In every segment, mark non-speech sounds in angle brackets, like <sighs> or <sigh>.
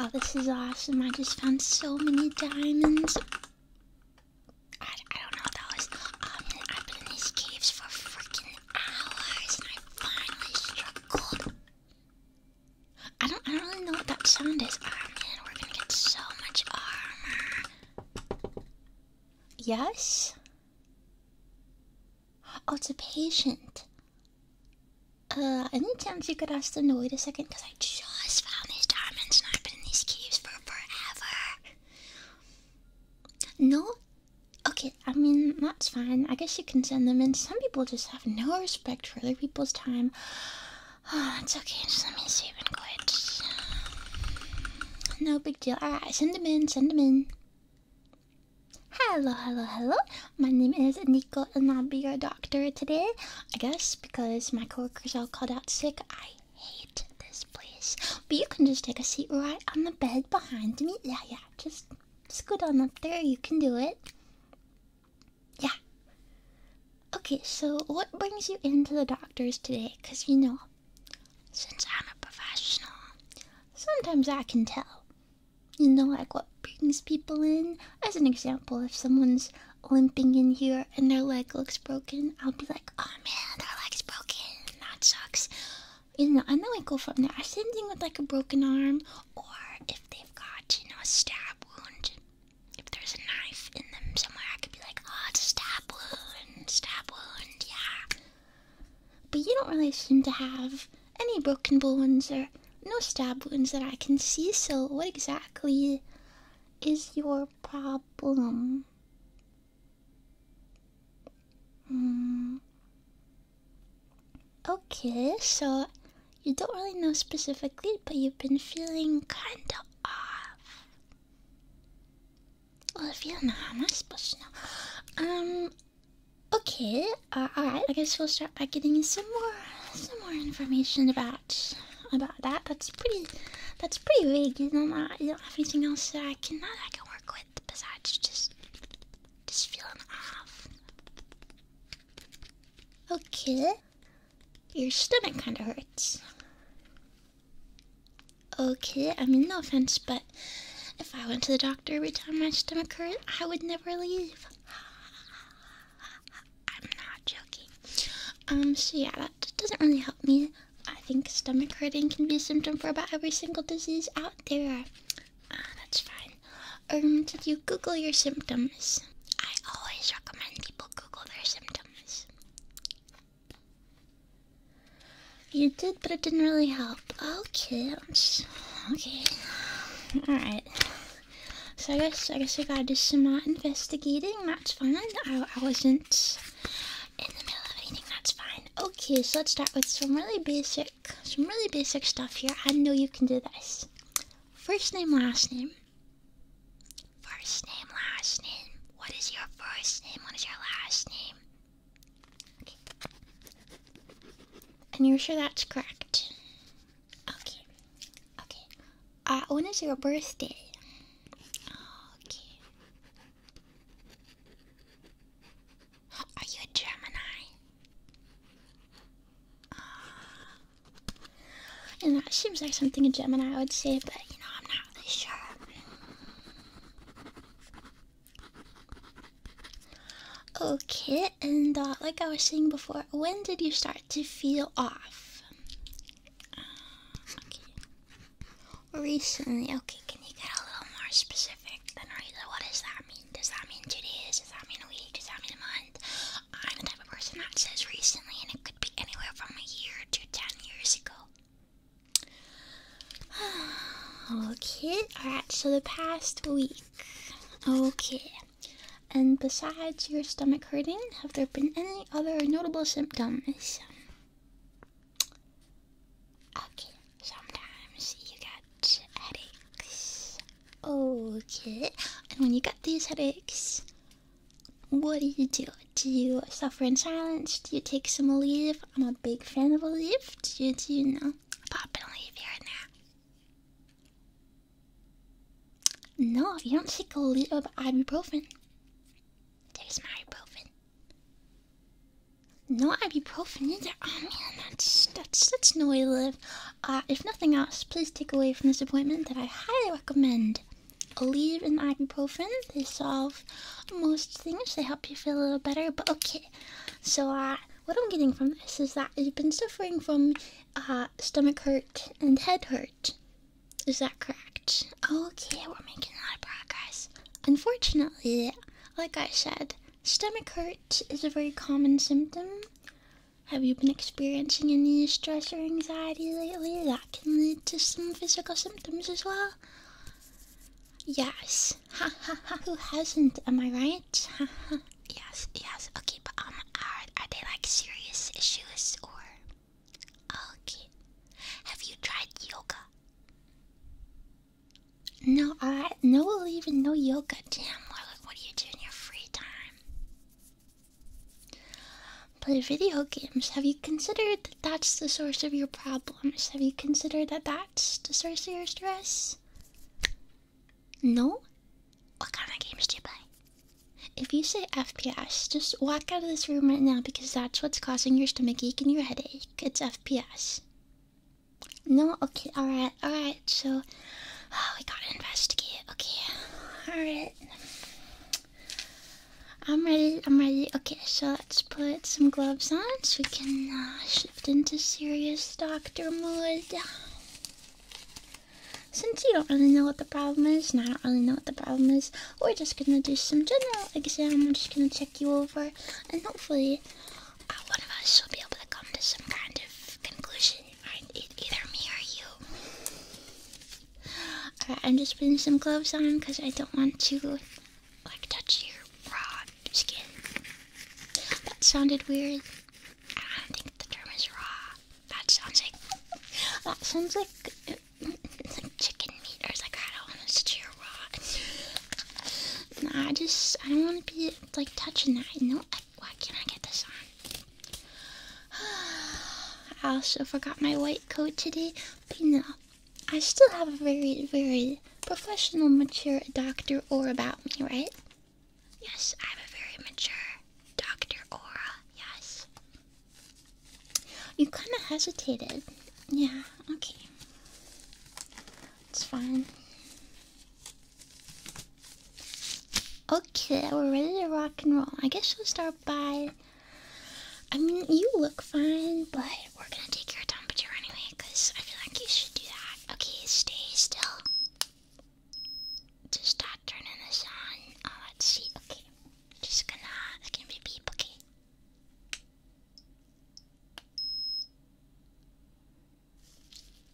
oh, this is awesome. I just found so many diamonds. I, don't know that was. Um, I've been in these caves for freaking hours and I finally struck gold. I don't, I don't really know what that sound is. I oh, man, we're gonna get so much armor. Yes? Oh, it's a patient. Uh, any chance you could ask them to wait a second? Because I just found these diamonds and I've been in these caves for forever. No? Okay, I mean, that's fine. I guess you can send them in. Some people just have no respect for other people's time. <sighs> Oh, that's okay. Just let me save and quit. No big deal. Alright, send them in, send them in. Hello, hello, hello. My name is Nico and I'll be your doctor today. I guess because my coworkers all called out sick. I hate this place. But you can just take a seat right on the bed behind me. Yeah, yeah. Just scoot on up there. You can do it. Yeah. Okay, so what brings you into the doctor's today? Because you know, since I'm a professional, sometimes I can tell you know, like what brings people in. As an example, if someone's limping in here and their leg looks broken, I'll be like, oh man, their leg's broken, that sucks. You know, and then we go from there. Same thing with like a broken arm, or if they've got, you know, a stab wound. If there's a knife in them somewhere, I could be like, oh, it's stab wound, stab wound, yeah. But you don't really seem to have any broken bones or no stab wounds that I can see, so what exactly is your problem? Hmm. Okay, so you don't really know specifically, but you've been feeling kind of off. Well, if you don't know, I'm not supposed to know. Um, Okay, alright, I guess we'll start by getting some more some more information about about that. That's pretty that's pretty vague, you know, not, uh, you know everything else that I can that I can work with besides just just feeling off. Okay. Your stomach kinda hurts. Okay, I mean no offense, but if I went to the doctor every time my stomach hurt, I would never leave. <sighs> I'm not joking. Um, so yeah, that doesn't really help me. I think stomach hurting can be a symptom for about every single disease out there. Ah, that's fine. Um, did you Google your symptoms? I always recommend people Google their symptoms. You did, but it didn't really help. Okay, okay. All right. So I guess I guess we gotta do some uh, investigating. That's fine. I, I wasn't in the middle of anything. That's fine. Okay, so let's start with some really basic, some really basic stuff here. I know you can do this. First name, last name. First name, last name. What is your first name? What is your last name? And you're sure that's correct? Okay. Okay. when uh, is your birthday? Okay. Are you a Gemini? Uh, and that seems like something a Gemini would say, but you know, I'm not really sure. Okay, and uh, like I was saying before, when did you start to feel off? Uh, recently, okay, can you get a little more specific than reason? What does that mean? Does that mean today? days? Does that mean a week? Does that mean a month? I'm the type of person that says recently, and it could be anywhere from a year to ten years ago. <sighs> okay, alright, so the past week. Okay. And besides your stomach hurting, have there been any other notable symptoms? Okay, sometimes you get headaches. Okay, and when you get these headaches, what do you do? Do you suffer in silence? Do you take some leave? I'm a big fan of a leave. Do you, do you know? Pop and leave here and there. No, if you don't take a little of ibuprofen, there's my ibuprofen. No ibuprofen either. I oh, man, that's that's that's no way to live. Uh, if nothing else, please take away from this appointment that I highly recommend. Aleve and ibuprofen, they solve most things. They help you feel a little better. But okay, so uh, what I'm getting from this is that you've been suffering from uh, stomach hurt and head hurt. Is that correct? Okay, we're making a lot of progress. Unfortunately, like I said, stomach hurt is a very common symptom. Have you been experiencing any stress or anxiety lately that can lead to some physical symptoms as well? Yes. Ha ha ha, who hasn't? Am I right? <laughs> yes, yes. Okay, but um, are are they like serious issues or? Okay. Have you tried yoga? No, I no even no yoga, Damn, What what do you do in your free time? Play video games. Have you considered that that's the source of your problems? Have you considered that that's the source of your stress? No? What kind of games do you play? If you say FPS, just walk out of this room right now because that's what's causing your stomach ache and your headache. It's FPS. No? Okay, alright, alright, so oh, we gotta investigate. Okay, alright. I'm ready, I'm ready. Okay, so let's put some gloves on so we can uh, into serious doctor mode. Since you don't really know what the problem is, and I don't really know what the problem is, we're just gonna do some general exam. I'm just gonna check you over, and hopefully, uh, one of us will be able to come to some kind of conclusion. Either me or you. I'm just putting some gloves on because I don't want to, like, touch your raw skin. That sounded weird. I don't think the term is raw. That sounds like that sounds like, like chicken meat or like I don't want to cheer raw. I just I don't want to be like touching that. No, I, why can't I get this on? <sighs> I also forgot my white coat today, but no, I still have a very very professional, mature Dr. or about me, right? Yes, I'm a very mature Dr. Aura, yes. You kind of hesitated. Yeah, okay. It's fine. Okay, we're ready to rock and roll. I guess we'll start by. I mean, you look fine, but we're gonna take your temperature anyway, because I feel like you should do that. Okay, stay still. Just stop turning this on. Oh, let's see. Okay, just gonna. It's gonna be beep. Okay.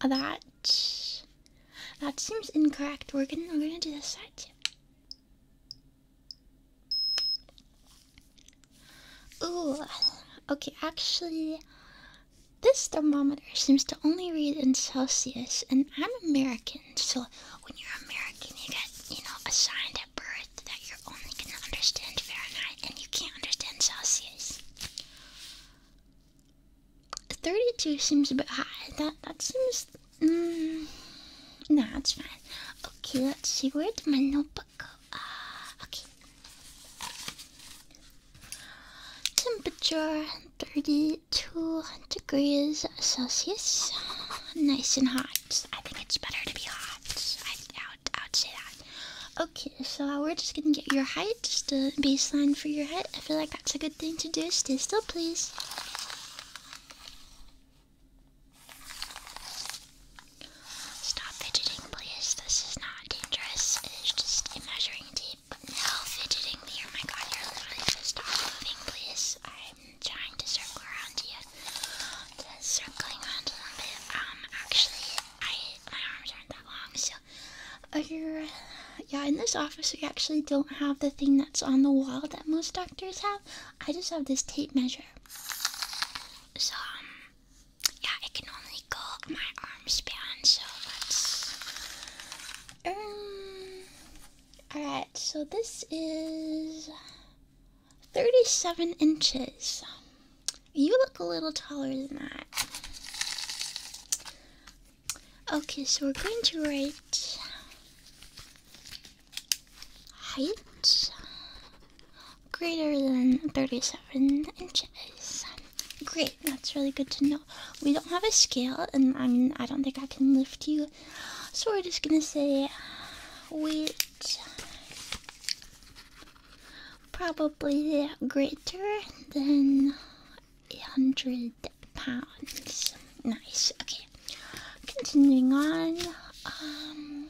Oh, that that seems incorrect. We're gonna we're gonna do this side too. Ooh, okay. Actually, this thermometer seems to only read in Celsius, and I'm American, so when you're American, you get, you know, assigned at birth that you're only gonna understand Fahrenheit and you can't understand Celsius. 32 seems a bit high. That that seems. no, mm, nah, it's fine. Okay, let's see. Where did my notebook go? Uh, okay. Temperature 32 degrees Celsius. Nice and hot. I think it's better to be hot. I, would, I would say that. Okay, so we're just gonna get your height, just a baseline for your height. I feel like that's a good thing to do. Stay still, please. Stop fidgeting, please. This is not dangerous. It is just a measuring tape. No fidgeting me. Oh my god, you're literally so stop moving, please. I'm trying to circle around you. circling around a little bit. Um, actually, I my arms aren't that long, so. Are oh, you, yeah, in this office, we actually don't have the thing that's on the wall that most doctors have. I just have this tape measure. So, um, yeah, I can only go my arm span, so let's. Um. Alright, so this is 37 inches. You look a little taller than that. Okay, so we're going to write height greater than 37 inches. Great, that's really good to know. We don't have a scale, and I mean, I don't think I can lift you, so we're just gonna say weight probably greater than 100 pounds. Nice, okay. Continuing on, um,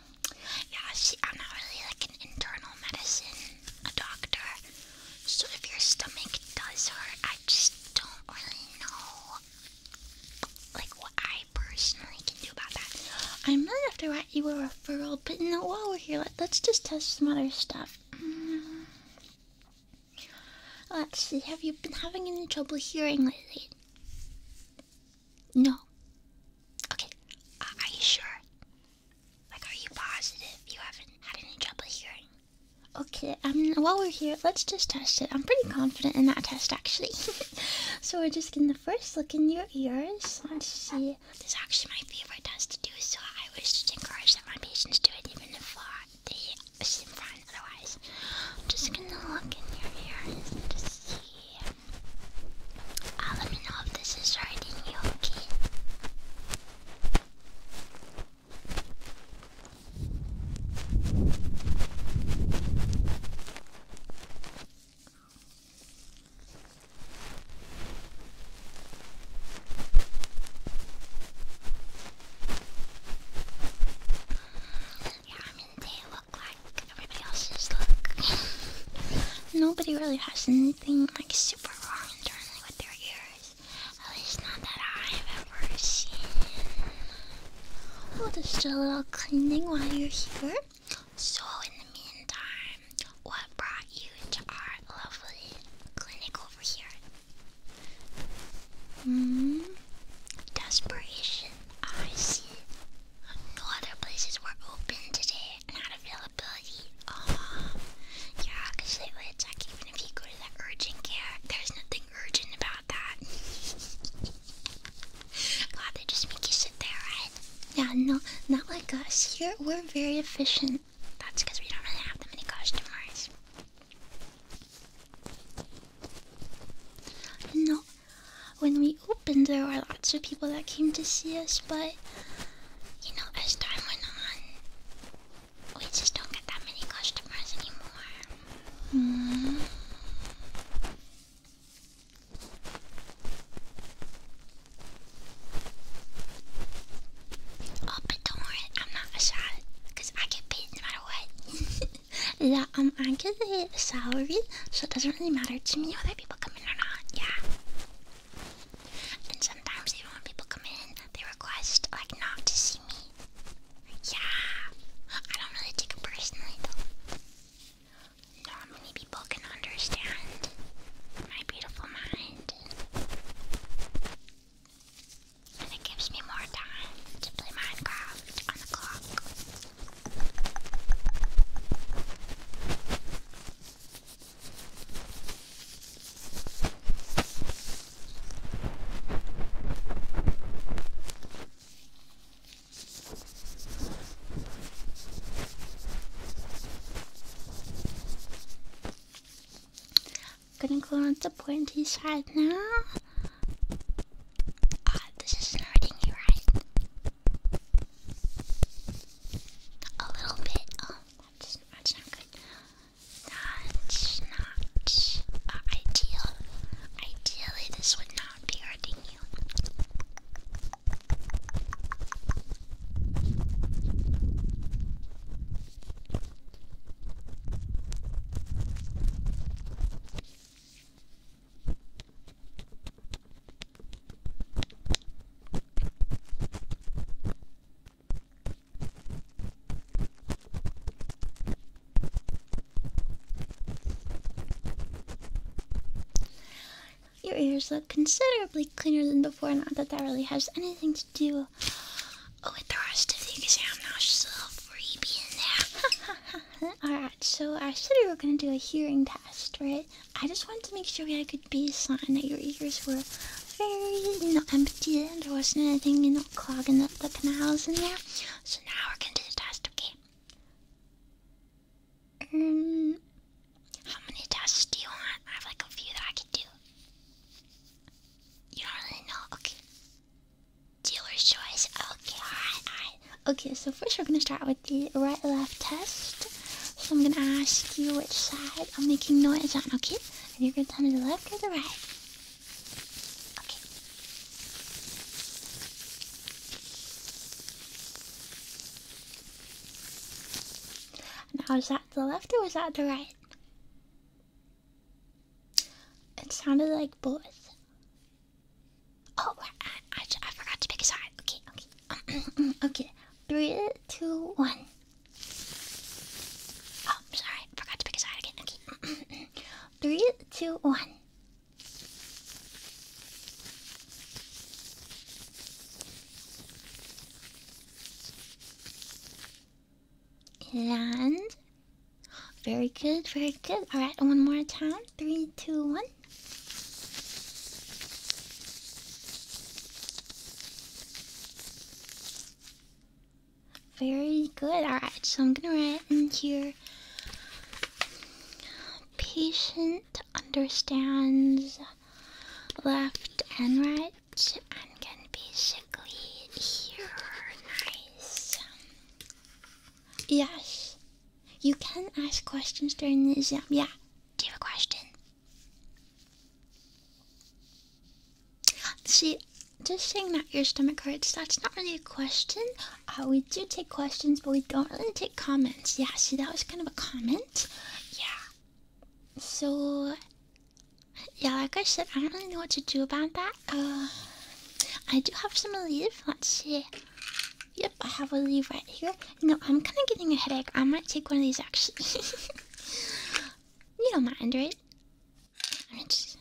yeah, see, I'm not really like an internal medicine a doctor. So if your stomach does hurt, I just don't really know like what I personally can do about that. I might have to write you a referral, but no, while we're here, let, us just test some other stuff. Actually, mm. have you been having any trouble hearing lately? No. Okay, are you sure? Like, are you positive you haven't had any trouble hearing? Okay, um, while we're here, let's just test it. I'm pretty confident in that test, actually. <laughs> so we're just gonna first look in your ears. let see. This is actually my favorite test to do, so I always just encourage that my patients do it, even if uh, they seem fine otherwise. I'm just gonna look in your ears to see. Uh, let me know if this is right り大きいいや I mean they look like everybody else's look <laughs> Nobody really has I've just do a little cleaning while you're here. So in the meantime, what brought you to our lovely clinic over here? Hmm. Desperation. I see. No other places were open today not availability. Oh, uh, yeah, they would check even if you go to the urgent care. There's nothing urgent about that. God, <laughs> they just make you sit there, right? Yeah, no, not like us. Here, we're very efficient. That's because we don't really have that many customers. No, when we opened, there were lots of people that came to see us, but you know, as time went on, we just don't get that many customers anymore. Mm. but don't worry, I'm not a because I get paid no matter what. <laughs> yeah, um, I get a salary, so it doesn't really matter to me whether people come in or not. Yeah. And sometimes even when people come in, they request like not to see me. Yeah, I don't really take it personally though. Not many people can understand my beautiful mind. And it gives me more time to play Minecraft on the clock. Gonna go on the pointy side now. Ah, this is hurting you, right? A little bit. Um. That's, not good. That's not uh, ideal. Ideally, this would not be hurting you. Your ears look considerably cleaner than before, not that that really has anything to do oh, with the rest of the exam. Now it's just a little freebie in there. <laughs> Alright, so I said we were going to do a hearing test, right? I just wanted to make sure I could be a sign that your ears were very, not empty and there wasn't anything, you know, clogging up the canals in there. So now we're gonna do the test, okay? Um, how many tests do you want? I have like a few that I could do. You don't really know? Okay. Dealer's choice. Okay, alright, alright. Okay, so first we're gonna start with the right left test. So I'm gonna ask you which side I'm making noise on, okay? And you're gonna tell me the left or the right. Okay. Now is that the left or is that the right? It sounded like both. Oh, I forgot to pick a side. Okay, okay. <coughs> okay, three, two, one. Oh, sorry, forgot to pick a side again. Okay, <coughs> three, two, one. And very good, very good. All right, one more time. Three, two, one. Very good. Alright, so I'm gonna write in here. Patient understands left and right and can basically hear. Nice. Yes. You can ask questions during the exam. Yeah. Do you have a question? See, just saying that your stomach hurts, that's not really a question. Uh, we do take questions, but we don't really take comments. Yeah, see, that was kind of a comment. Yeah. So, yeah, like I said, I don't really know what to do about that. Uh, I do have some leave. Let's see. Yep, I have a leaf right here. No, I'm kind of getting a headache. I might take one of these actually. <laughs> you don't mind, right? I mean, just...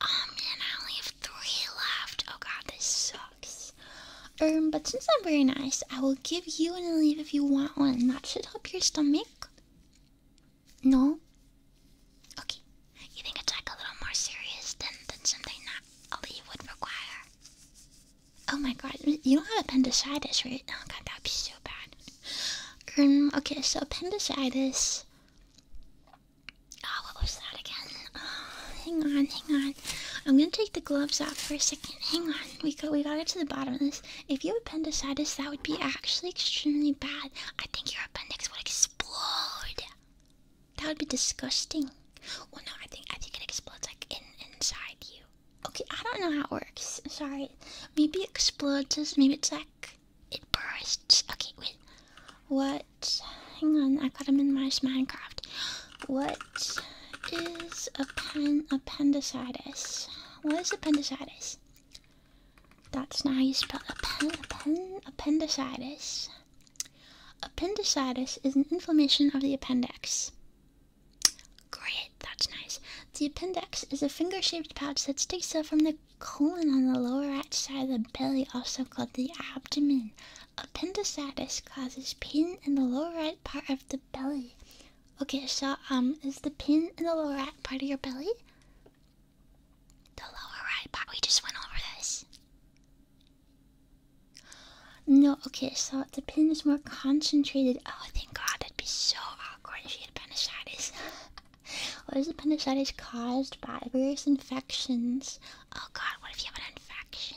Oh, I only have three left. Oh god, this sucks. Um, but since I'm very nice, I will give you an Aleve if you want one. That should help your stomach. No? Okay. You think it's like a little more serious than, than something that Aleve would require? Oh my god, you don't have appendicitis, right? Oh god, that'd be so bad. Um, okay, so appendicitis. Oh, what was that again? Oh, hang on, hang on. I'm gonna take the gloves off for a second. Hang on, we go. We gotta get to the bottom of this. If you have appendicitis, that would be actually extremely bad. I think your appendix would explode. That would be disgusting. Well, no, I think I think it explodes like in inside you. Okay, I don't know how it works. Sorry. Maybe it explodes. Maybe it's like it bursts. Okay, wait. What? Hang on. I got him in my Minecraft. What is appen appendicitis? What is appendicitis? That's not how you spell appen appen appendicitis. Appendicitis is an inflammation of the appendix. Great, that's nice. The appendix is a finger shaped pouch that sticks out from the colon on the lower right side of the belly, also called the abdomen. Appendicitis causes pain in the lower right part of the belly. Okay, so um, is the pain in the lower right part of your belly? The lower right part, we just went over this. No, okay, so the pin is more concentrated. Oh, thank God, that'd be so awkward if you had appendicitis. <laughs> what is appendicitis caused by? Various infections. Oh God, what if you have an infection?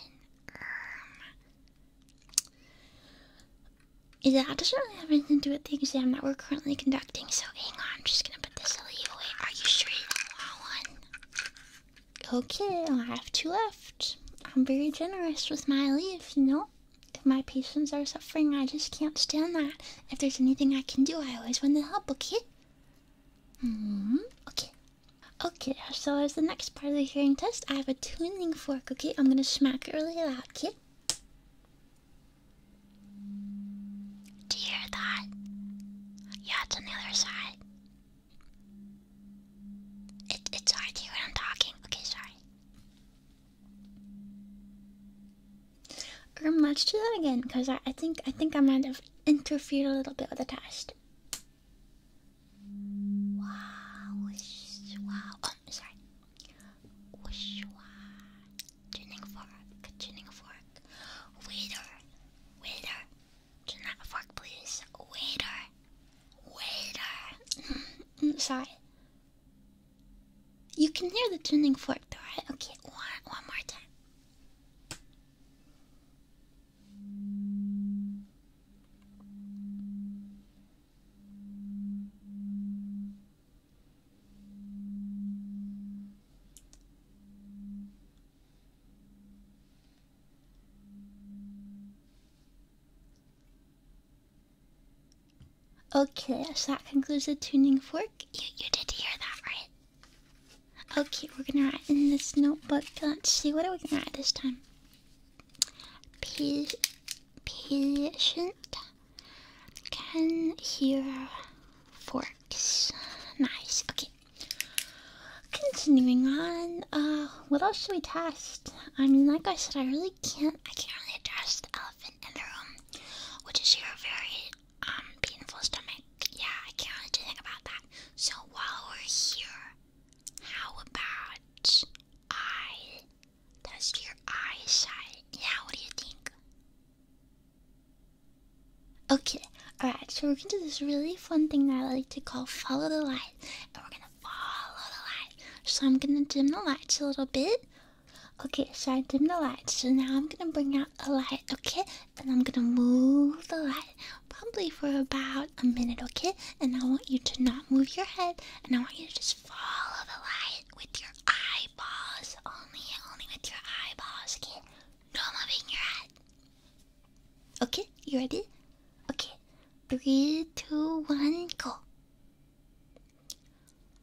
Um, yeah, that doesn't really have anything to do with the exam that we're currently conducting, so hang on, I'm just gonna put this leave away. Are you sure Okay, I have two left. I'm very generous with my leave, you know? If my patients are suffering, I just can't stand that. If there's anything I can do, I always want to help, okay? hmm, okay. Okay, so as the next part of the hearing test, I have a tuning fork, okay? I'm gonna smack it really loud, okay? Do you hear that? Yeah, it's on the other side. it's hard to hear when I'm talking. Okay, sorry. Um, let's do that again, cause I, I think I think I might have interfered a little bit with the test. Wow, Oh, sorry. Tuning fork, tuning fork. Waiter, waiter. Turn that fork, please. Waiter, Waiter. Uh, <clears throat> sorry. You can hear the tuning fork, though, right? Okay, one, one more time. Okay, so that concludes the tuning fork. You, you did hear that, right? Okay, we're gonna write in this notebook. Let's see, what are we gonna write this time? patient can hear forks. Nice, okay. Continuing on, uh, what else should we test? I mean, like I said, I really can't. I can't really address the elephant in the room, which is your very um painful stomach. Yeah, I can't really do anything about that. So while we're here, how about I test your eyesight? Yeah, what do you think? Okay, alright, so we're gonna do this really fun thing that I like to call follow the Line," And we're gonna follow the light. So I'm gonna dim the lights a little bit. Okay, so I dim the lights. So now I'm gonna bring out the light, okay? And I'm gonna move the light probably for about a minute, okay? And I want you to not move your head and I want you to just follow the light with your eyeballs. Only only with your eyeballs, okay? No moving your head. Okay, you ready? Okay, Three, two, one, go.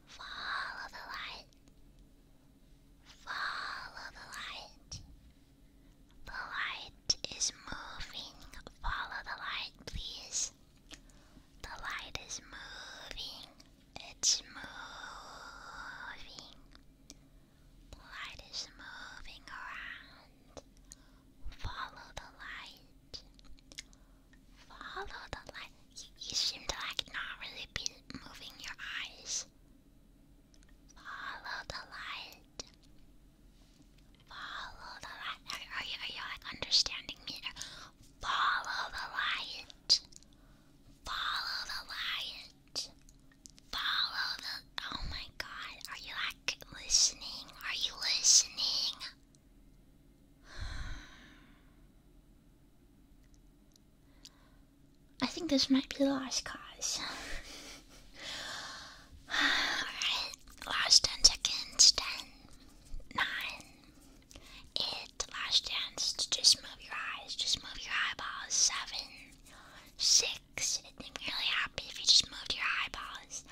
Follow the light. Follow the light. The light is moving. Follow the light, please. The light is moving. It's moving. The light is moving around. Follow the light. Follow the light. You, seem to like not really be moving your eyes. Follow the light. Follow the light. are you are you like understanding me? Follow the light. Follow the light. Follow the. Oh my God! Are you like listening? Are you listening? <sighs> I think this might be the last cause. <sighs> Alright, last 10 seconds. 10, 8, last chance. Just move your eyes, just move your eyeballs. 7, 6, it'd be really happy if you just moved your eyeballs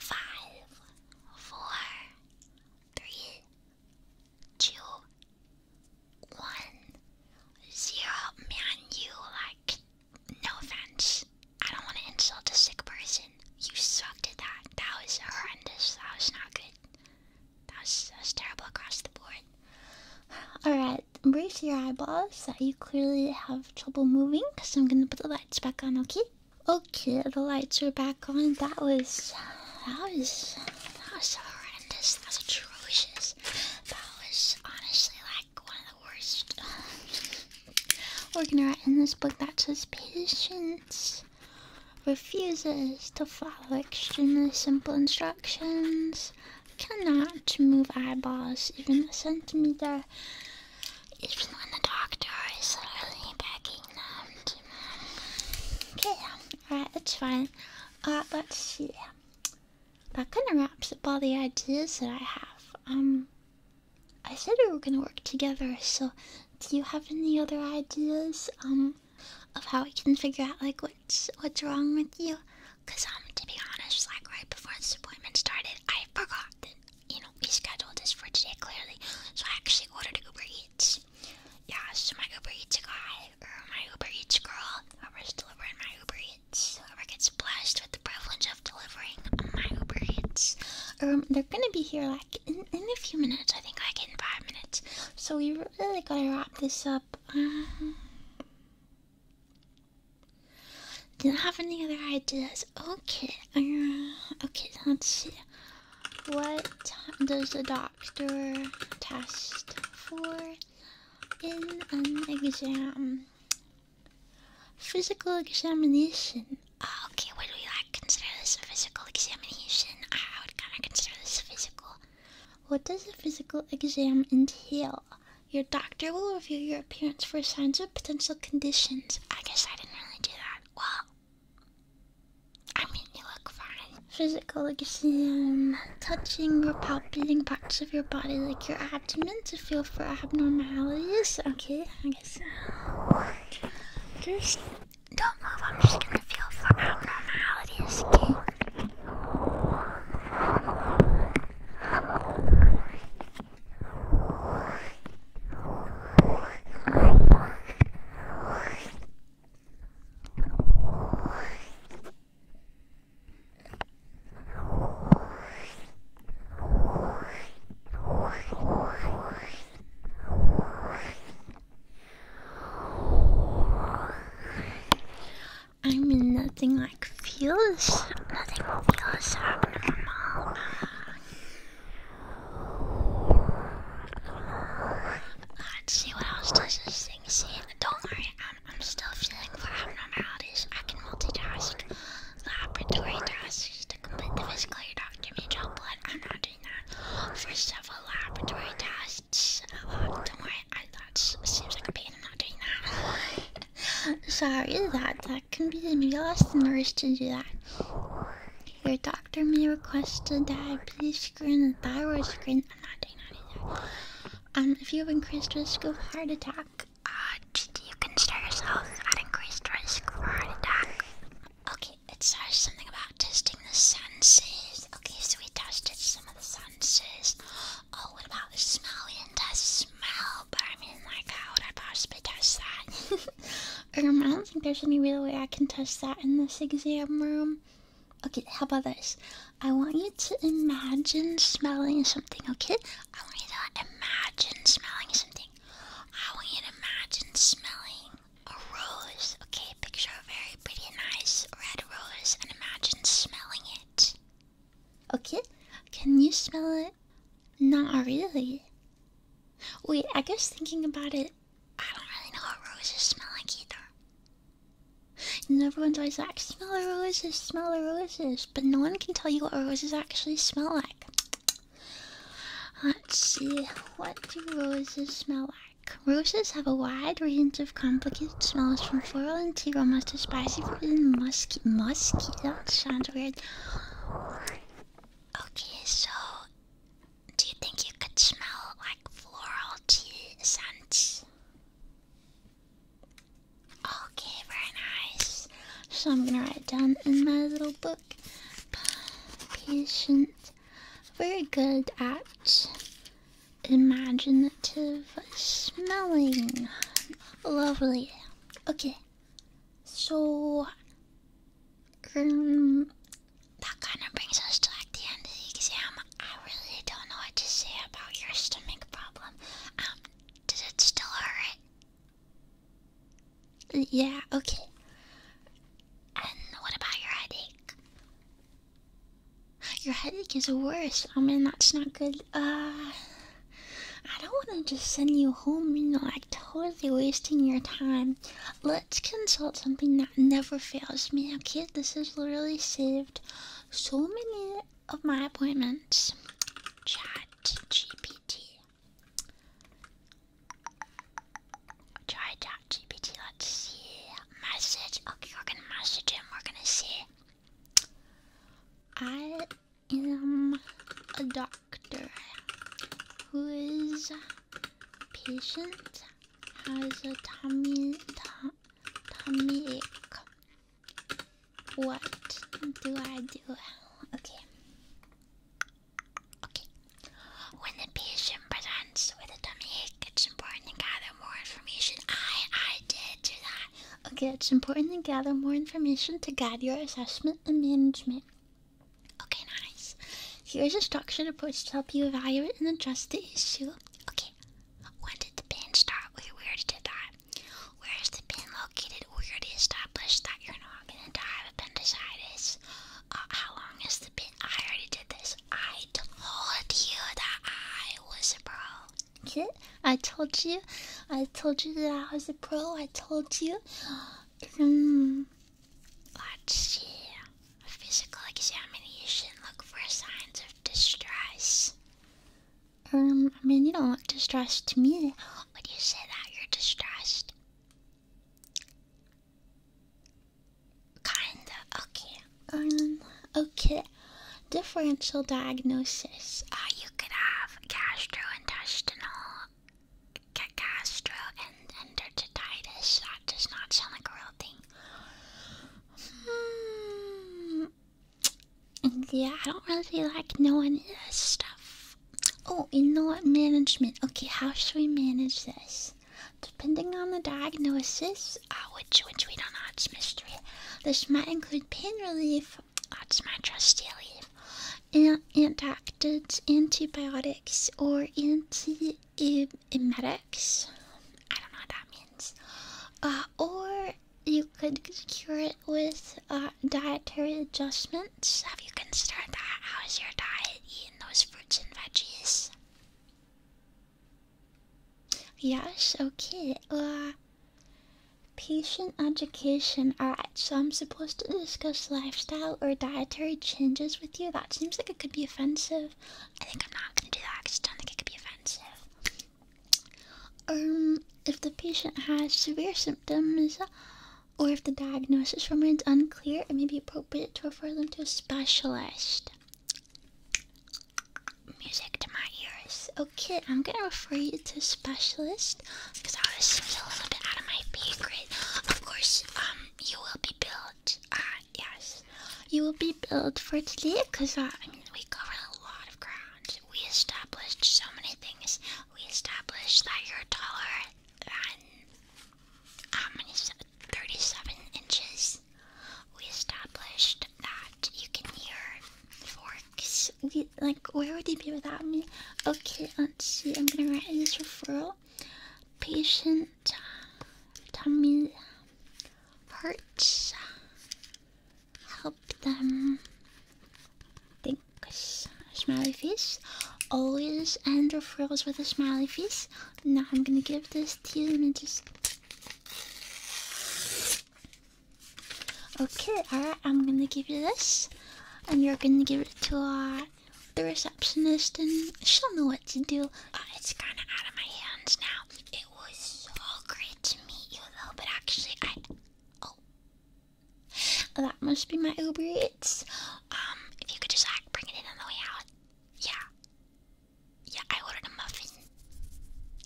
five, four, three, two, one, zero. Man, you like no offense. I don't want to insult a sick person. You sucked at that. That was horrendous. That was not good. That was, that was terrible across the board. Alright, brace your eyeballs that uh, you clearly have trouble moving because I'm going to put the lights back on, okay? Okay, the lights are back on. That was that was that was horrendous. That atrocious. That was honestly like one of the worst. <sighs> We're gonna write in this book that says patience refuses to follow extremely simple instructions, cannot move eyeballs even a centimeter, even when the doctor is really begging them to. Okay, alright, it's fine. Uh, let's see. That kind of wraps up all the ideas that I have. Um, I said we were gonna work together, so do you have any other ideas, um, of how we can figure out, like, what's, what's wrong with you? Cause, um, to be honest, like, right before this appointment started, I forgot you know, we scheduled this for today clearly. So I actually ordered Uber Eats. Yeah, so my Uber Eats guy or my Uber Eats girl, whoever's delivering my Uber Eats, whoever gets blessed with the privilege of delivering my Uber Eats, um, they're gonna be here like in, a few minutes. I think like in five minutes. So we really gotta wrap this up. Uh, do I have any other ideas? Okay, uh, okay, let's see. What does the doctor test for in an exam? Physical examination. okay, what do we like? Consider this a physical examination. I would kind of consider this physical. What does a physical exam entail? Your doctor will review your appearance for signs of potential conditions. I guess I didn't really do that. Well, I mean, you look fine. Physical exam. Touching or palpating parts of your body like your abdomen to feel for abnormalities. Okay, I guess. Just don't move. I'm just gonna feel for abnormalities, okay? I mean, nothing like feels, nothing feels so normal. Let's see what else does this thing see. Don't worry, I'm, I'm still feeling for abnormalities. I can multitask. Laboratory tasks to complete the physical. You don't give me gel blood. I'm not doing that. For several laboratory tests. Uh, oh, don't worry, I, that seems like a pain. I'm not doing that. <laughs> Sorry, that that can be the best nurse to do that. Your doctor may request a diabetes screen, a thyroid screen. Um, if you have increased risk of heart attack, uh, you can consider yourself at increased risk for heart attack. Okay, it says something about testing the senses. Okay, so we tested some of the senses. Oh, what about the smell? We did test smell but I mean, like, how would I possibly touch that? <laughs> Um, I don't think there's any real way I can touch that in this exam room. Okay, how about this? I want you to imagine smelling something, okay? I want you to imagine smelling something. I want you to imagine smelling a rose, okay? Picture a very pretty, nice red rose and imagine smelling it. Okay? Can you smell it? Not really. Wait, I guess thinking about it, I don't really know what roses smell like either. And everyone's always like, smell the roses, smell the roses. But no one can tell you what roses actually smell like. Let's see, what do roses smell like? Roses have a wide range of complicated smells from floral and tea aromas to spicy and musky. Musky? That sounds weird. Okay, so do you think you could smell like floral tea scents? Okay, very nice. So I'm gonna write down in my little book patient, very good at imaginative smelling. Lovely. Okay, so, um, that kind of brings us to like the end of the exam. I really don't know what to say about your stomach problem. Um, does it still hurt? Yeah, okay. And what about your headache? Your headache is worse. I mean, that's not good. Uh, I don't want to just send you home, you know, like totally wasting your time. Let's consult something that never fails me, kid. This has literally saved so many of my appointments. Chat GPT. Chat GPT, let's see. Message. Okay, we're gonna message him, we're gonna see. I i am a doctor who is patient has a tummy, tummy ache. What do I do? Okay. Okay. When the patient presents with a tummy ache, it's important to gather more information. I I did do that. Okay, it's important to gather more information to guide your assessment and management. Okay, nice. Here's a structured approach to help you evaluate and address the issue. Okay, when did the pain start? Where did it that. Where is the pain located? Where did it establish that you're not going to have appendicitis. Uh, how long is the pain? I already did this. I told you that I was a pro. Kid, I told you. I told you that I was a pro. I told you. Mm-hmm. Let's see. physical examination. Look for signs of distress. Um, I mean, you don't look distressed to me. When you say that you're distressed? Kinda. Okay. Um, okay. Differential diagnosis. Uh, you could have gastrointestinal Cacastro That does not sound like a real thing. Hmm. Yeah, I don't really like knowing this stuff. Oh, you know what? Management. Okay, how should we manage this? Depending on the diagnosis, uh, which which we don't know, it's mystery. This might include pain relief. That's my trusty leave antactids, antibiotics, or anti emetics. I don't know what that means. Uh, or you could cure it with uh, dietary adjustments. Have you considered that? How's your diet eating those fruits and veggies? Yes, okay. Uh, Patient education. Alright, so I'm supposed to discuss lifestyle or dietary changes with you. That seems like it could be offensive. I think I'm not gonna do that because I don't think it could be offensive. Um, if the patient has severe symptoms or if the diagnosis remains unclear, it may be appropriate to refer them to a specialist. Music to my ears. Okay, I'm gonna refer you to a specialist because I was a little bit out of my pay Of course, um, you will be built. Uh, yes, you will be billed for today, because uh, I mean, we covered a lot of ground. We established so many things. We established that you're taller than how Thirty-seven inches. We established that you can hear forks. like, where would you be without me? Okay, let's see. I'm gonna write this referral. Patient tummy hurts. Help them. think. Thanks. Smiley face. Always end referrals with a smiley face. Now I'm gonna give this to you and just. Okay, alright, I'm gonna give you this and you're gonna give it to uh, the receptionist, and she'll know what to do. Uh, it's kind of out of my hands now. It was so great to meet you, though. But actually, I oh, that must be my Uber Eats. Um, if you could just like bring it in on the way out. Yeah, yeah. I ordered a muffin.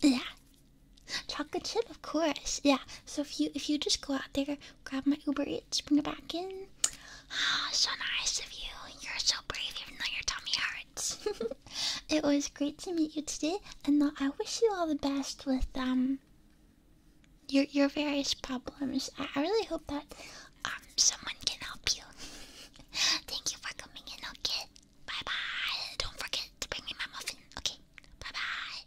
Yeah, chocolate chip, of course. Yeah. So if you if you just go out there grab my Uber Eats, bring it back in. Oh, so nice of you. You're so brave, even though your tummy hurts. <laughs> it was great to meet you today, and I wish you all the best with um your your various problems. I, I really hope that um someone can help you. <laughs> Thank you for coming in. Okay, bye bye. Don't forget to bring me my muffin. Okay, bye bye.